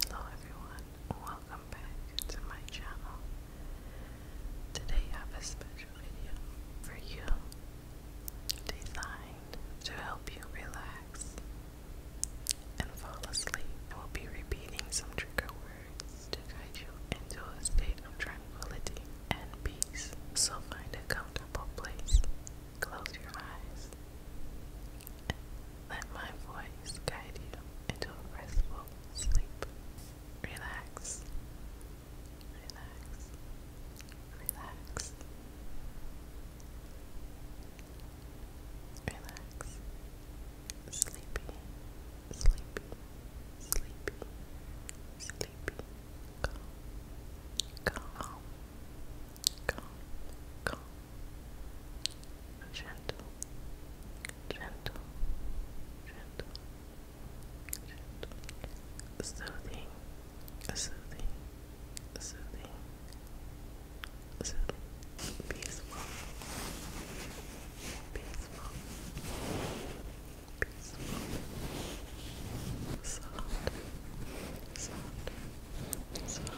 Hello everyone, welcome back to my channel. Today I have a special video for you designed to help you relax and fall asleep. I will be repeating some trigger words to guide you into a state of tranquility and peace. So find a comfortable place Close your eyes. Let my voice guide you into a restful sleep. Relax. Relax. Relax. Relax. Sleepy. Sleepy. Sleepy. Sleepy. Calm. Calm calm, calm, gentle, gentle, gentle, gentle, soothing, soothing, soothing, soothing, peaceful, peaceful, peaceful, soft. Soft, soft,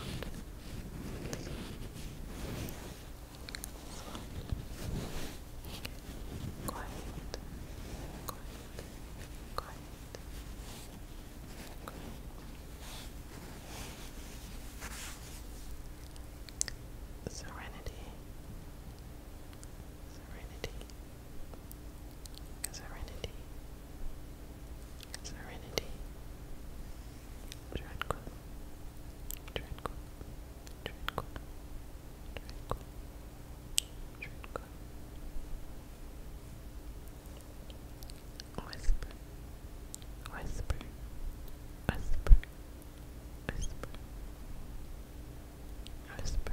soft. serenity, serenity, serenity, serenity, tranquil, tranquil, tranquil, tranquil, tranquil. Whisper, whisper, whisper, whisper, whisper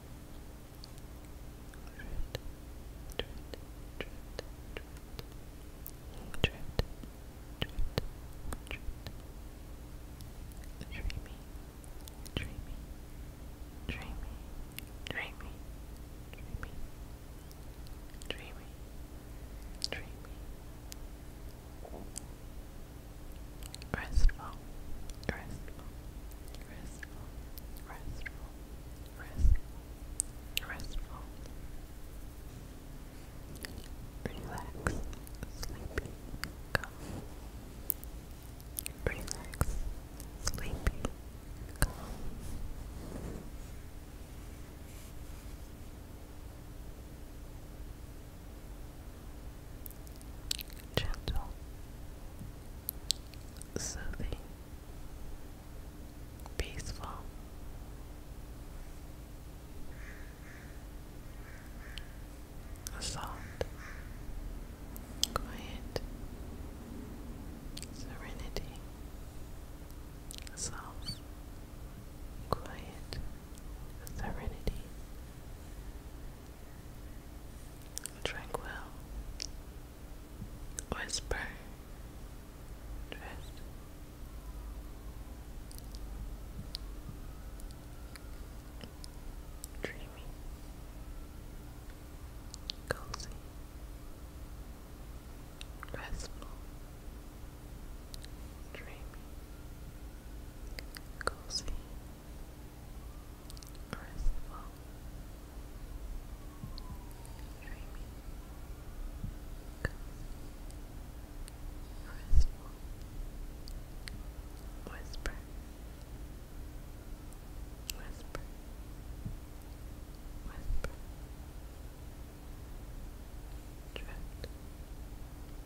drift, dreamy, dreamy, dreamy, dreamy, dreamy, dreamy, dreamy. Dreamy, restful, restful, restful, restful, restful, restful, relax, sleepy, calm, relax, sleepy, calm gentle, soothing, peaceful. Soft, quiet, serenity, soft, quiet, serenity, Tranquil. Whisper. Drift. Dreamy. Cozy. Restful dreamy, cozy, restful, dreamy, cozy, restful, whisper, whisper, whisper. Drift,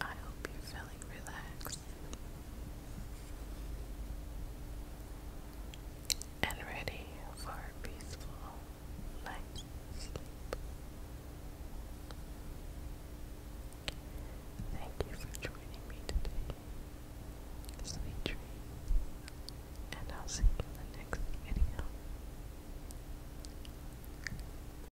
I hope you're feeling relaxed and ready for a peaceful night's sleep. Thank you for joining me today. Sweet dreams, and I'll see you in the next video.